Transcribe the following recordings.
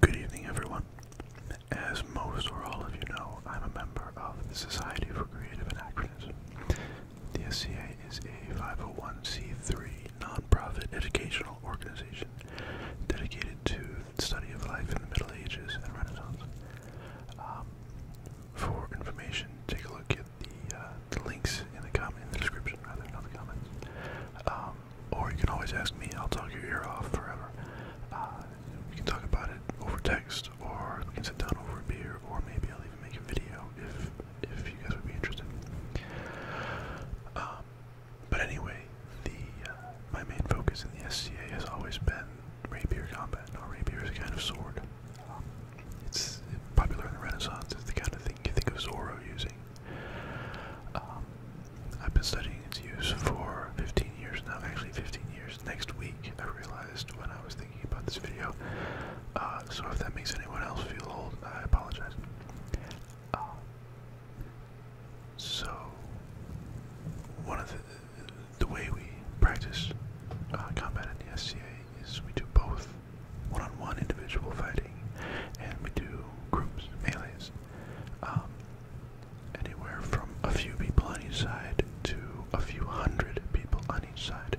Good evening, everyone. As most or all of you know, I'm a member of the Society for Creative Anachronism. The SCA is a 501c3 nonprofit educational organization dedicated to study of life in the Middle Ages and Renaissance. Um, for information, take a look at the, uh, links in the description, rather than the comments. Um, or you can always ask me. I'll talk your ear off forever. Uh, we can talk about it over text, or we can sit down over a beer, or maybe I'll even make a video if if you guys would be interested. Um, but anyway, the uh, my main focus in the SCA has always been rapier combat. Now, rapier is a kind of sword. it's popular in the Renaissance. It's the kind of thing you think of Zorro using. Um, I've been studying its use for 15 years now, actually 15 years. Next week, I realized when I was thinking about this video. Uh, so if that makes anyone else feel old, I apologize. Um, so, one of the, the way we practice uh, combat in the SCA is we do both one-on-one individual fighting and we do groups, melees. Um, anywhere from a few people on each side to a few hundred people on each side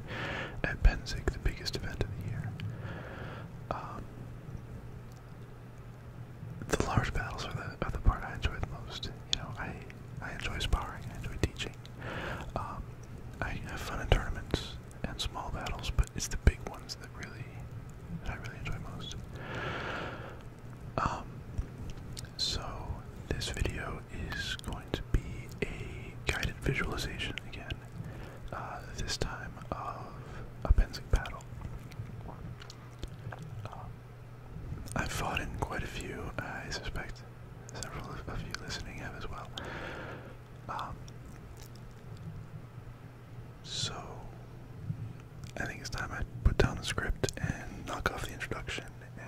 at Penzik, the biggest event of the year. Um, the large battles are the, part I enjoy the most. You know, I, I enjoy sparring, I enjoy teaching. Um, I have fun in tournaments and small battles, but it's the big ones really I really enjoy most. Um, so this video is going to be a guided visualization again. Uh, this time of a Pensic battle. Um, I've fought in quite a few. I suspect several of you listening have as well. Um, so, I think it's time I put down the script and knock off the introduction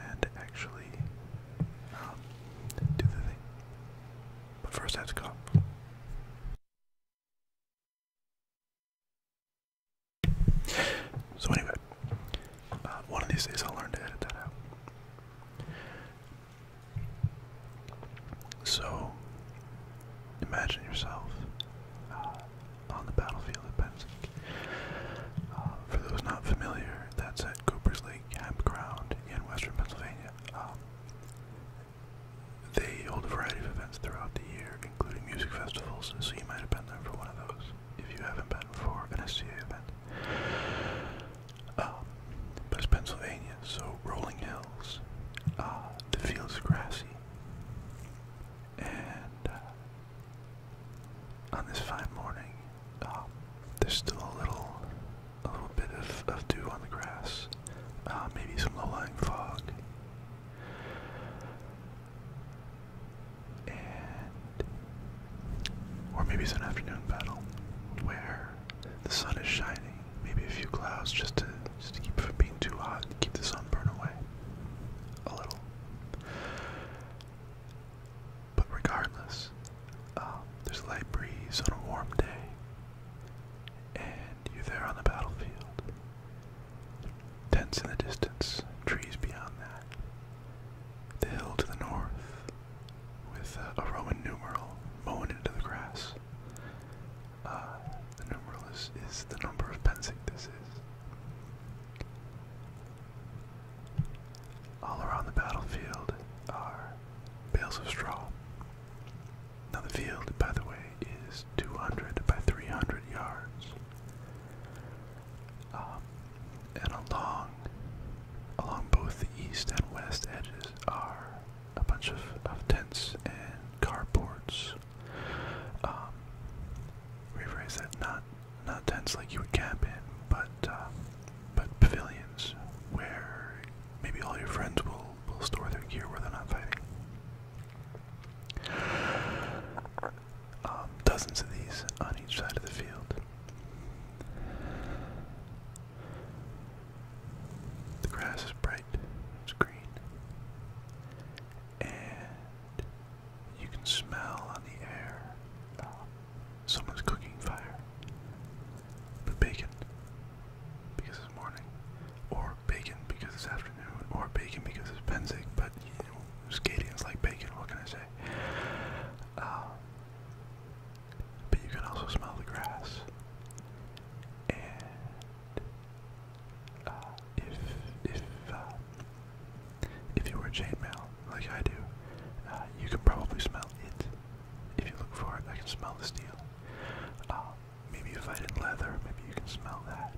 and actually um, do the thing. But first, I have to cough. So, anyway, uh, one of these days I'll learn to edit that out. So, Imagine yourself uh, on the battlefield at Pensac. Uh, for those not familiar, that's at Cooper's Lake Campground in western Pennsylvania. Um, they hold a variety of events throughout the year, including music festivals, so you might have been there for one of those if you haven't been for an SCA event. Um, but it's Pennsylvania, so rolling hills, uh, the field's grassy. And uh, on this fine morning, um, there's still a little, a little bit of, of dew on the grass. Uh, maybe some low-lying fog. And, or maybe it's an afternoon battle where the sun is shining, maybe a few clouds just to just to keep it from being too hot keep the sunburn away a little. But regardless, um, there's a light breeze on a warm day, and you're there on the battlefield. Tents in the distance, trees beyond that. The hill to the north, with uh, a Roman numeral mown into the grass. Uh, the numeral is, the number of pensing this is. All around the battlefield are bales of straw. Now the field, by the way, is 200 by 300 yards. Um, and along, along both the east and west edges are a bunch of, of tents and carports um, rephrase that. Not not tents like you would camp in, but uh, but pavilions where maybe all your friends will will store their gear where they're not fighting. Um, dozens of these on each side of the field. The grass is bright, it's green, and you can smell on the air uh, someone's cooking fire. But bacon because it's morning, or bacon because it's afternoon, or bacon because it's Penzic. But you know, skating is like bacon. What can I say? Uh, but you can also smell the grass, uh, if if uh, if you wear chainmail like I do, uh, you can probably smell it. If you look for it, I can smell the steel. Uh, maybe if I did leather, maybe you can smell that.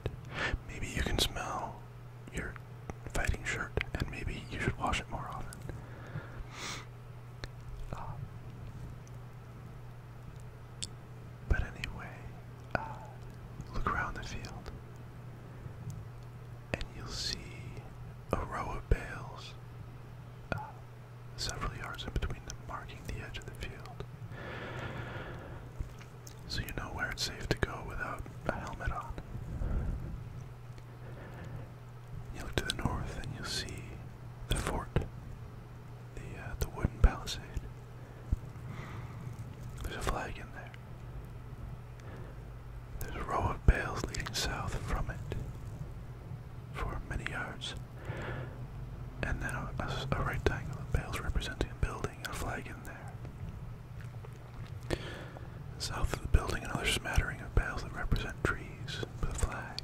Maybe you can smell your fighting shirt, and maybe you should wash it more often. Uh, but anyway, uh, look around the field, and you'll see a row of bales, uh, several yards in between them, marking the edge of the field. So you know where it's safe to go without a helmet on. You look to the north and you'll see the fort, the uh, the wooden palisade. There's a flag in there. There's a row of bales leading south from it for many yards. And then a, a, a rectangle of bales representing a building and a flag in there. South of the building, another smattering of bales that represent trees with a flag.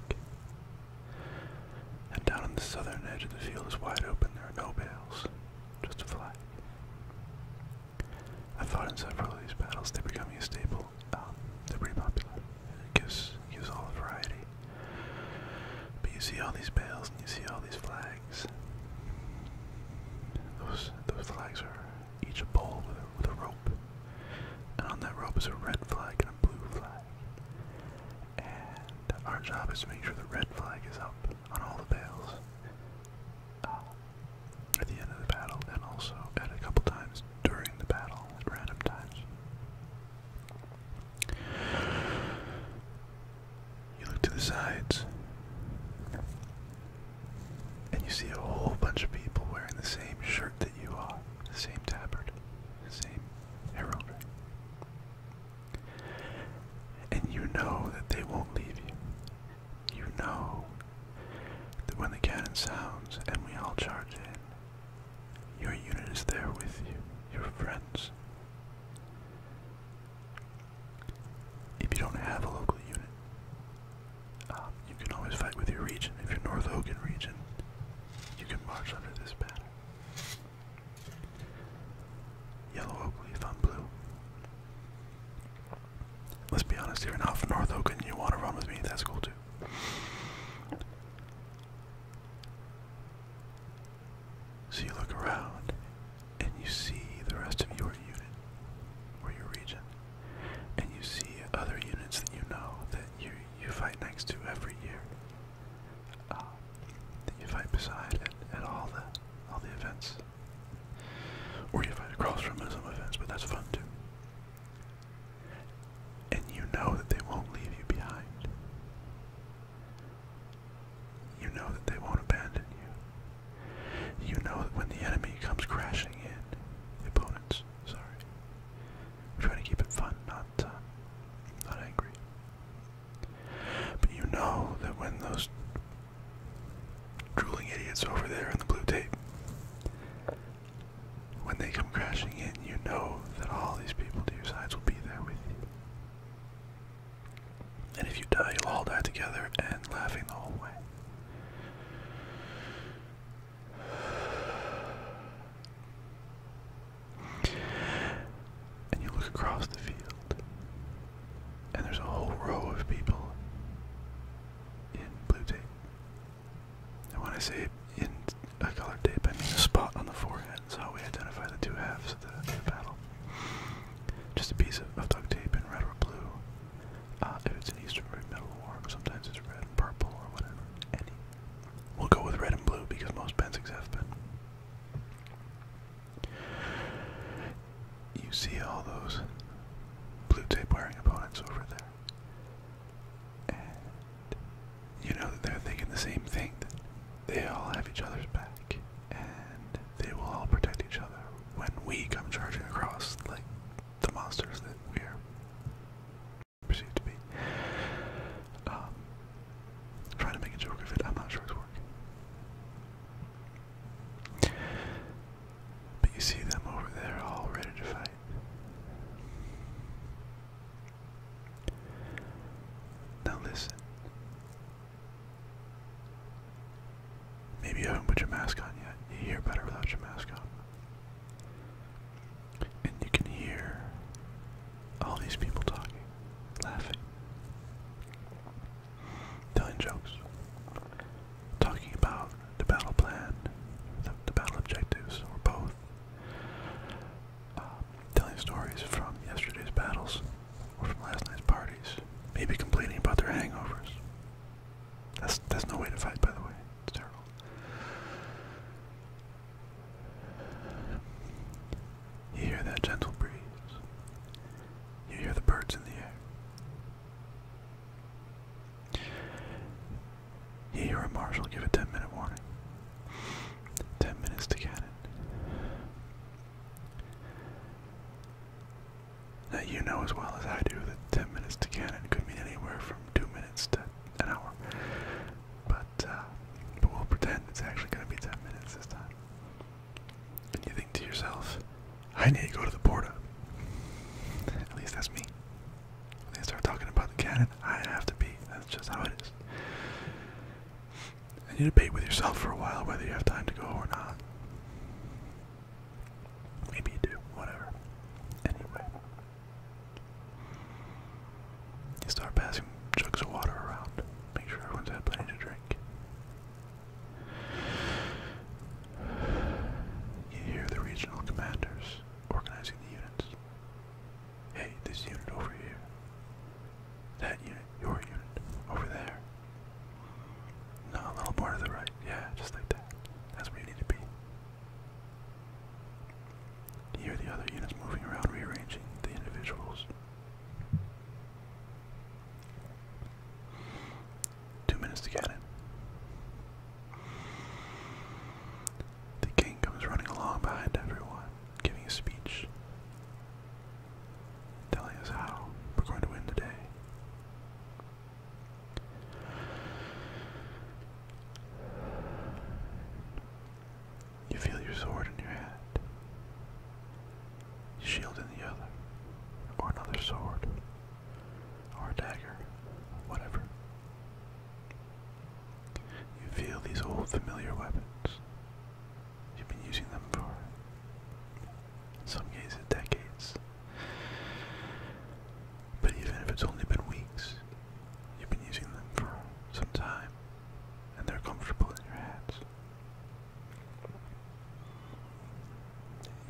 And down on the southern edge of the field is wide open. There are no bales just a flag. I fought in several of these battles, they're becoming a staple. Um, they're pretty popular. It gives, gives all the variety. But you see all these bales and you see all these flags. Those, those flags are each a pole with with a rope. And on that rope is a red flag and a blue flag. And our job is to make sure the red flag is up on all the bales uh, at the end of the battle, and also at a couple times during the battle at random times. You look to the sides, and you see a whole bunch of people wearing the same shirt that you are, the same tabard, the same heraldry. And you know that they won't leave you. You know that when the cannon sounds and we all charge in, your unit is there with you, your friends. If you don't have a local unit, um, you can always fight with your region. If you're North Ogun region, you can march under this banner. Yellow oak leaf on blue. Let's be honest, here. you not from North Oak and you want to run with me, that's cool too. So you look around and you see the rest of your unit or your region, and you see other units that you know that you you fight next to every year. Um, that you fight beside at, all the all the events, or you fight across from some events, but that's fun too. And you know that they won't leave you behind. You know that they won't abandon you. You know that when the enemy comes crashing in, opponents, sorry, trying to keep it fun, not, uh, not angry. But you know that when those drooling idiots over there in the blue tape, when they come crashing in, you know that all these people to your sides will be there with you. And if you die, you'll all die together and laughing the whole way. And you look across the field, and there's a whole row of people in blue tape. And when I say in a colored tape, I mean a spot on the forehead. That's how we identify the two halves of the, battle. Just a piece of, duct tape in red or blue. Uh, if it's an Eastern or Middle War, sometimes it's red and purple or whatever. We'll go with red and blue because most Pensics have been. You see all those blue tape wearing opponents over there. And you know that they're thinking the same thing that they all have each other's back. And they will all protect each other when we come charging across like the monsters that we are perceived to be. Um, I'm trying to make a joke of it. I'm not sure it's working. But you see them over there, all ready to fight. Now listen. Maybe you haven't put your mask on yet. You hear better without your mask on. And you can hear all these people talking, laughing, telling jokes, talking about the battle plan, the, battle objectives, or both, um, telling stories from yesterday's battles or from last night's parties, maybe complaining about their hangovers. That's that's no way to fight, by the way. It's terrible. You hear that gentle breeze. You hear the birds in the air. You hear a marshal give a 10 minute warning. 10 minutes to cannon. Now, you know as well as I do that 10 minutes to cannon could mean anywhere from 2 minutes to an hour. But, uh, but we'll pretend it's actually going to be 10 minutes this time. And you think to yourself, I need to go to the Porta. At least that's me. When they start talking about the cannon, I have to be. That's just how it is. And you debate with yourself for a while whether you have time to go or not. Maybe you do, whatever. Anyway. You start passing jugs of water around. Make sure everyone's had plenty to drink. You hear the regional commanders organizing the units. Hey, this unit over here. That unit, your unit, over there. No, a little more to the right. Yeah, just like that. That's where you need to be. You hear the other units moving around, rearranging the individuals. Two minutes to get it. The king comes running along behind everyone, giving a speech, telling us how we're going to win today. You feel your sword in your hand, shield in the other, or another sword, or a dagger, whatever. You feel these old familiar weapons. You've been using them for, in some cases, decades. But even if it's only been weeks, you've been using them for some time, and they're comfortable in your hands.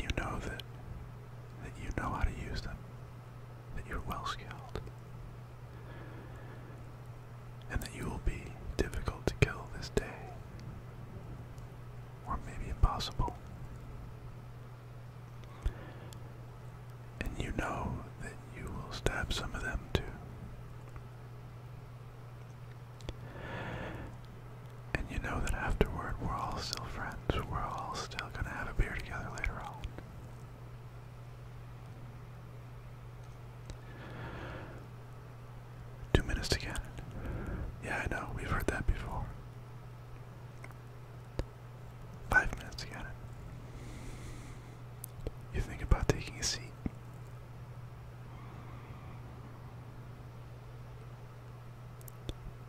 You know that that you know how to use them, that you're well skilled, and that you will be difficult to kill this day, or maybe impossible. And you know that you will stab some of them too. And you know that afterward we're all still friends. We're all still gonna have a beer together later on. Two minutes to cannon. Yeah, I we've heard that before. Five minutes to cannon. You think about taking a seat.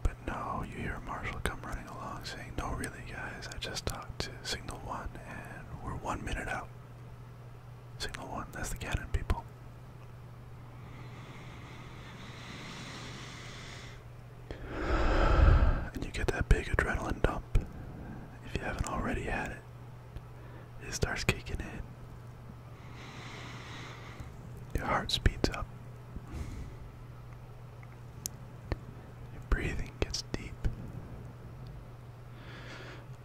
But no, you hear Marshall come running along saying, No, really, guys, I just talked to Signal 1 and we're one minute out. Signal 1, that's the cannon, people. And you get that big adrenaline dump if you haven't already had it. It starts kicking in. Your heart speeds up. Your breathing gets deep.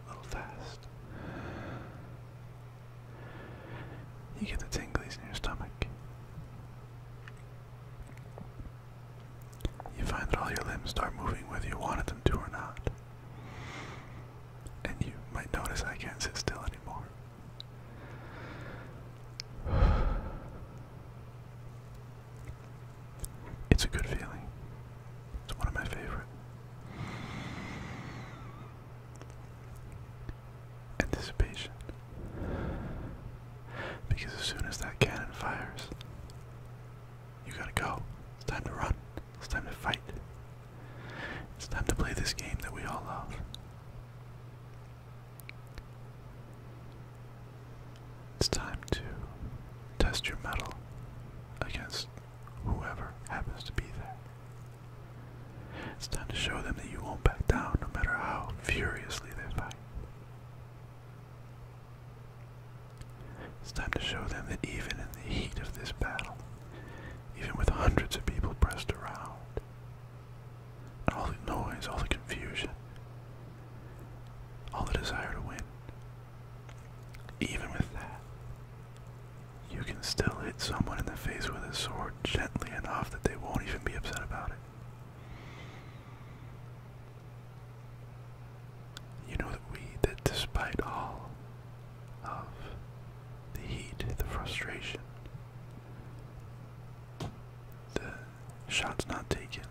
A little fast. You get the tingles in your stomach. You find that all your limbs start moving whether you wanted them to or not. And you might notice I can't sit still anymore. It's a good feeling. It's one of my favorite. Anticipation. Because as soon as that cannon fires, you gotta go. time to run. It's time to fight. It's time to play this game that we all love. It's time to test your metal against whoever happens to be there. It's time to show them that you won't back down no matter how furiously they fight. It's time to show them that even in the heat of this battle, even with hundreds of people pressed around, all the noise, all the confusion, all the desire to win, even with that, you can still hit someone in the face with a sword gently enough that they won't even be upset about it you know that we, that despite all of the heat, the frustration, the shots not taken,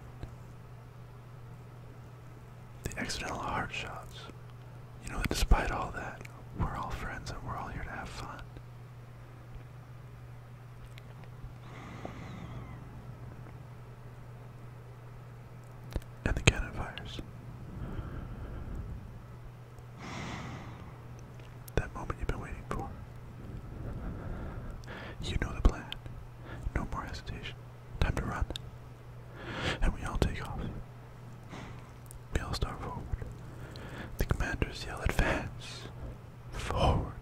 the accidental hard shots, you know that despite all that, we're all friends and we're all here to have fun and the cannon fires. That moment you've been waiting for. You know the plan. No more hesitation. Time to run. And we all take off. We all start forward. The commanders yell advance. Forward.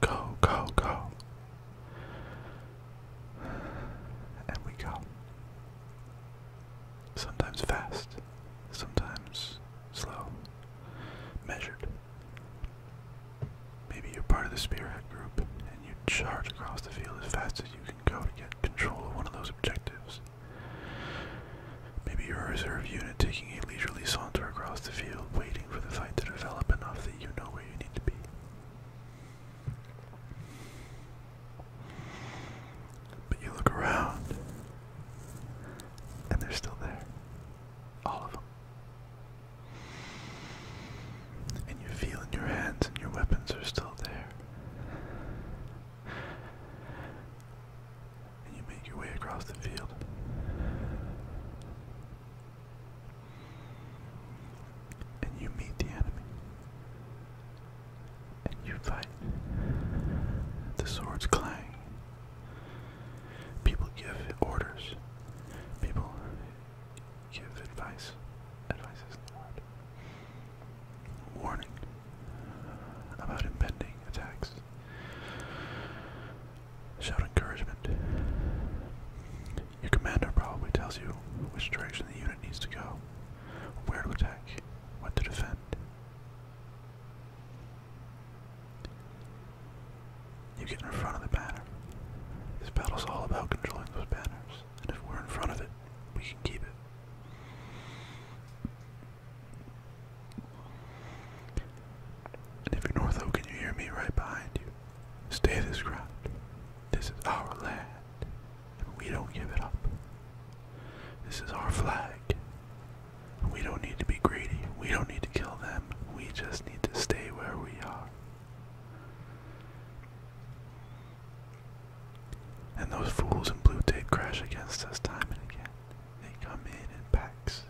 Go, go, go. And we go. Sometimes fast, sometimes slow, measured. Maybe you're part of the spearhead group and you charge across the field as fast as you can go to get control of one of those objectives. Maybe you're a reserve unit taking a leisurely saunter across the field, waiting for the fight to develop enough that you know where you need to be. But you look around, and they're still there. All of them. And you feel in your hands, and your weapons are still there. And you make your way across the field and you meet the enemy, and you fight. The swords clang. People give orders. People give advice. Advice is the Warning about impending attacks. Shout encouragement. Your commander probably tells you which direction the unit needs to go, where to attack, what to defend. You get in front of the banner. This battle's all about controlling those banners, and if we're in front of it, we can keep it. And if you're north, can you hear me right behind you? Stay this ground. This is our land we don't give it up. This is our flag. We don't need to be greedy. We don't need to kill them. We just need to stay where we are. And those fools in blue tape crash against us time and again. They come in in packs,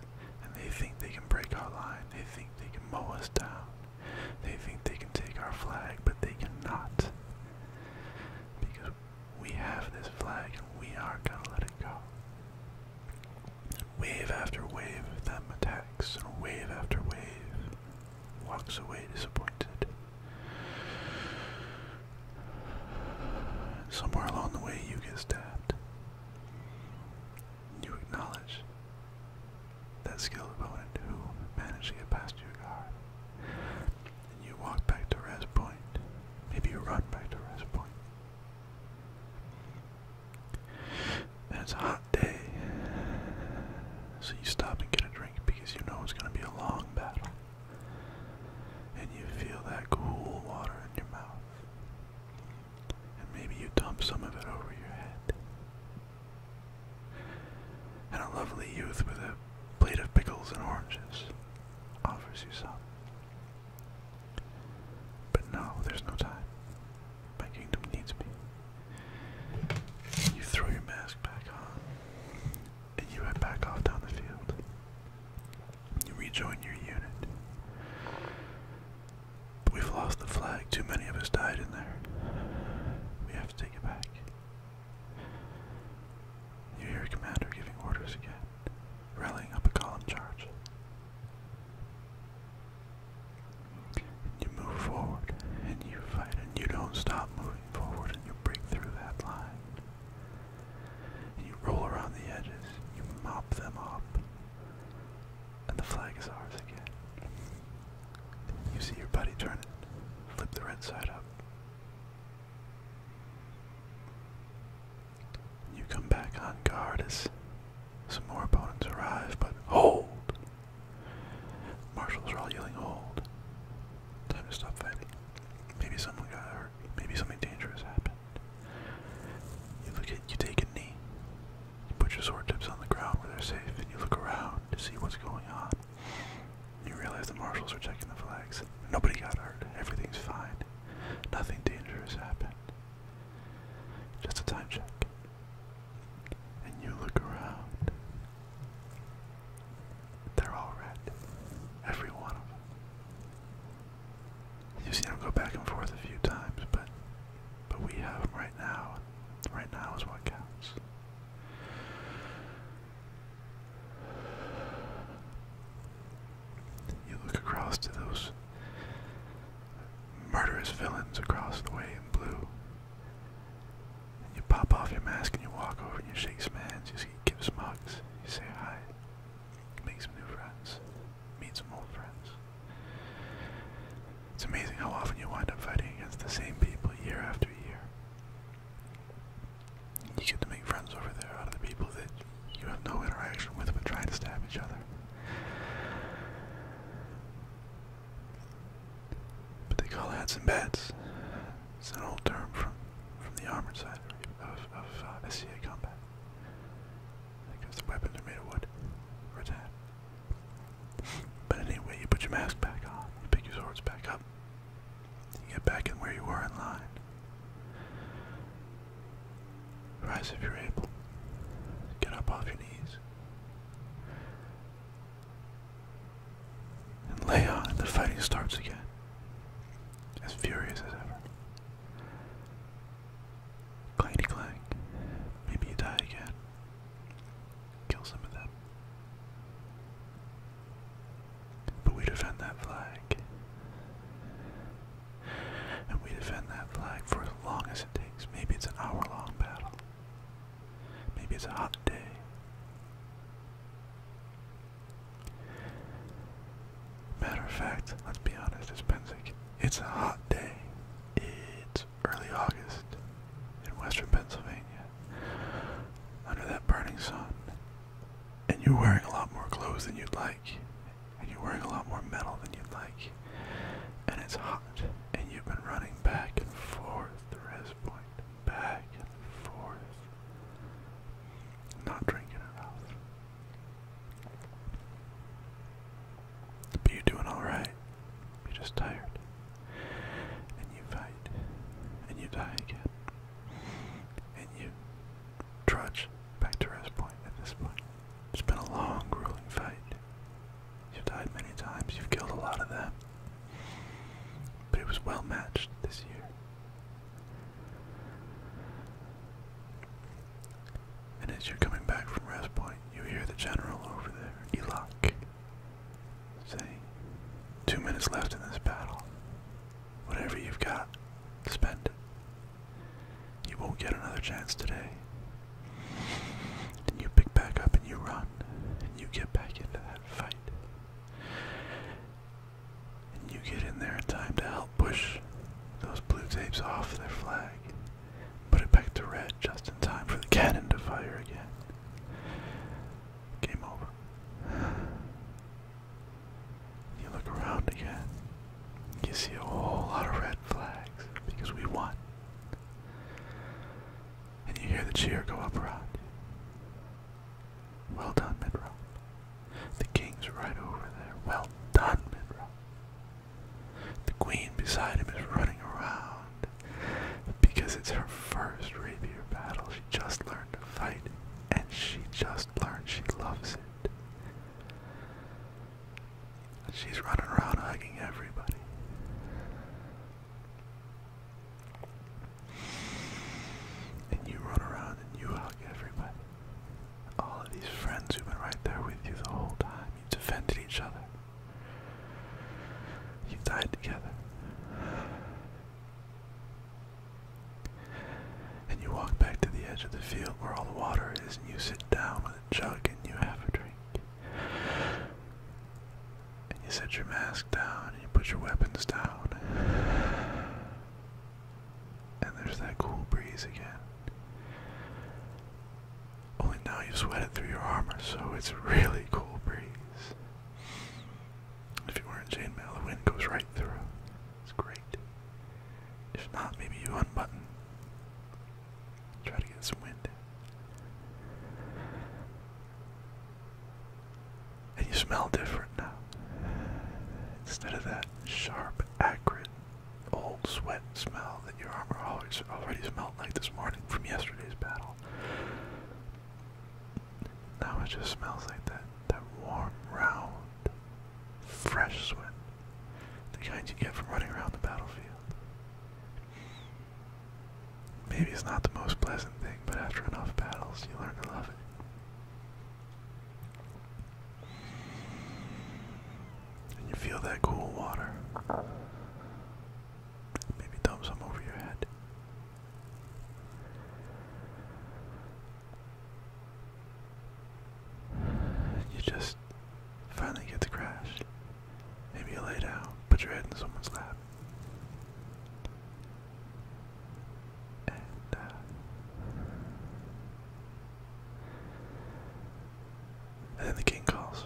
and they think they can break our line. They think they can mow us down. They think they can take our flag, but they cannot. Because we have this flag and we are going to let it go. Wave after wave them attacks, and wave after wave walks away disappointed. Somewhere along the way, you get stabbed. You acknowledge that skilled opponent who managed to get past your guard. And you walk back to rest point. Maybe you run back to rest point. it's a hot day. So you stop and get a drink because you know it's going to be a long battle. And you feel that cool water in your mouth. And maybe you dump some of it over your head. And a lovely youth with a plate of pickles and oranges offers you some. But no, there's no time. My kingdom needs me. You throw your mask back on, and you head back off down the field. You rejoin your unit. we've lost the flag. Too many of us died in there. We have to take it back. You hear a commander giving orders again, rallying up a column charge. You move forward and you fight and you don't stop moving forward and you break through that line. And you roll around the edges, you mop them up, and the flag is ours again. You see your buddy turn it, flip the red side up. You come back on guard as some more opponents arrive, but hold! Marshals are all yelling hold. Time to stop fighting. Maybe someone got hurt. Maybe something dangerous happened. You look at you take a knee. You put your sword tips on the ground where they're safe, and you look around to see what's going on. You realize the marshals are checking the flags. Nobody got hurt. Everything's fine. Nothing dangerous happened. Just a time check. And you look around. They're all red. Every one of them. You've them go back and forth a few times, but but we have them right now. Right now is what counts. You look across to those murderous villains across the way in blue. And you pop off your mask and you walk over and you shake some hands, you see, give some hugs, you say hi, make some new friends, meet some old friends. It's amazing how often you wind up fighting against the same people year after year. You get to make friends over there out of the people that you have no interaction with but trying to stab each other. But they call hats and bats. It's an old term from from the armored side of, of uh, SCA combat. Because the weapons are made of wood or tan. But anyway, you put your mask back on, pick your swords back up, get back in where you were in line. Rise if you're able. Get up off your knees. And lay on, and the fighting starts again. As furious as ever. Clanky clank. Maybe you die again kill some of them. But we defend that flag. And we defend that flag for as long as it takes. Maybe it's an hour long battle. Maybe it's a hot day. Matter of fact, let's be honest, it's It's a hot day. It's early August in western Pennsylvania under that burning sun. And you're wearing a lot more clothes than you'd like, and you're wearing a lot more metal than you'd like, and it's hot, and you've been running back and forth, the rest back and forth, not drinking enough. But you're doing alright. You're just tired. And you fight. And you die again. And you trudge back to rest point at this point. It's been a long, grueling fight. You've died many times. You've killed a lot of them. But it was well matched this year. And as you're coming back from rest point, you hear the general over there, Elok, Say, two minutes left in this battle. Whatever you've got, spend it. You won't get another chance today. And you pick back up and you run. And you get back into that fight. And you get in there in time to help push those blue tapes off their flag. Put it back to red just in time for the cannon to fire again. Game over. You look around again, you see a whole lot of red flags because we won. And you hear the cheer go up around Well done, Midrock. The king's right over there. Well done, Midrock. The queen beside him is running around because it's her first rapier battle. She just learned to fight, and she just learned she loves it. She's running around hugging everybody. And you run around and you hug everybody. All of these friends who've been right there with you the whole time, you each other. You died together. And you walk back to the edge of the field where all the water is, and you sit down with a jug and you have a drink. And you set your mask down, and you put your weapons down. And there's that cool breeze again. Only now you've it through your armor, so it's a really cool breeze. If you weren't in chainmail, the wind goes right through. It's great. If not, maybe you unbutton. Try to get some wind. And you smell different now. Instead of that sharp, acrid, old sweat smell that your armor always already smelled like this morning from yesterday's battle. Now it just smells like that that warm, round, fresh sweat. The kind you get from running around the battlefield. Maybe it's not the most pleasant thing, but after enough battles, you learn to love it. And you feel that cool water. Maybe dump some over your head. You just finally get to crash. Maybe you lay down, put your head in someone's lap. and uh, then the king calls.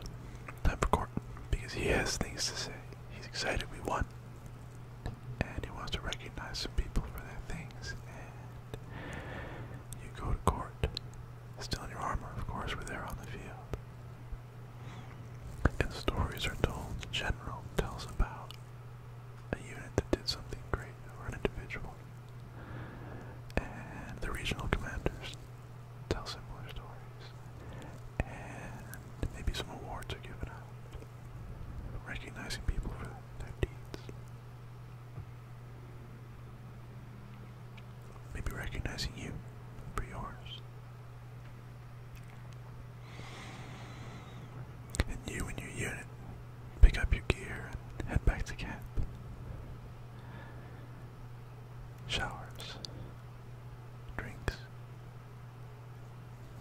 Time for court because he has things to say he's excited we won. And he wants to recognize some people for their things. And you go to court. Still in your armor, of course, we're there on the field. And stories are told. The general tells about a unit that did something great, or an individual. And the regional commanders tell similar stories, and maybe some awards are given out, recognizing people for their deeds. Maybe recognizing you for yours. And you and your unit pick up your gear and head back to camp. Showers, drinks,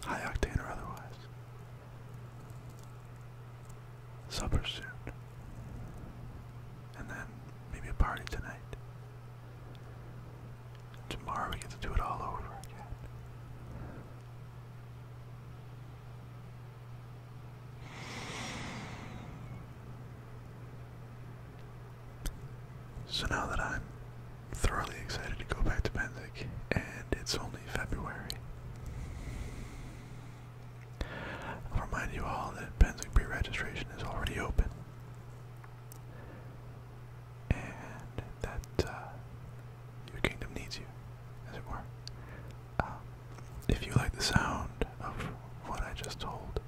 High octane or otherwise. Supper soon. And then maybe a party tonight. Tomorrow we get to do it all over again. So now that I'm thoroughly excited to go back to Benzik, and it's only February, I'll remind you all that Benzik pre-registration is already open, and that uh, your kingdom needs you, as it were. Um, if you like the sound of what I just told,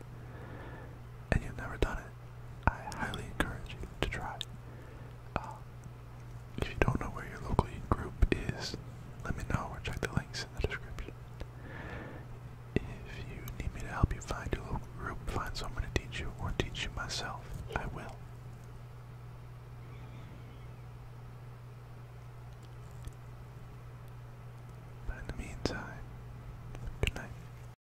and you've never done it, I highly encourage you to try. Um, if you don't know where your local group is, let me know or check the links in the description. If you need me to help you find your local group, find someone to teach you, or teach you myself, I will. But in the meantime, good night.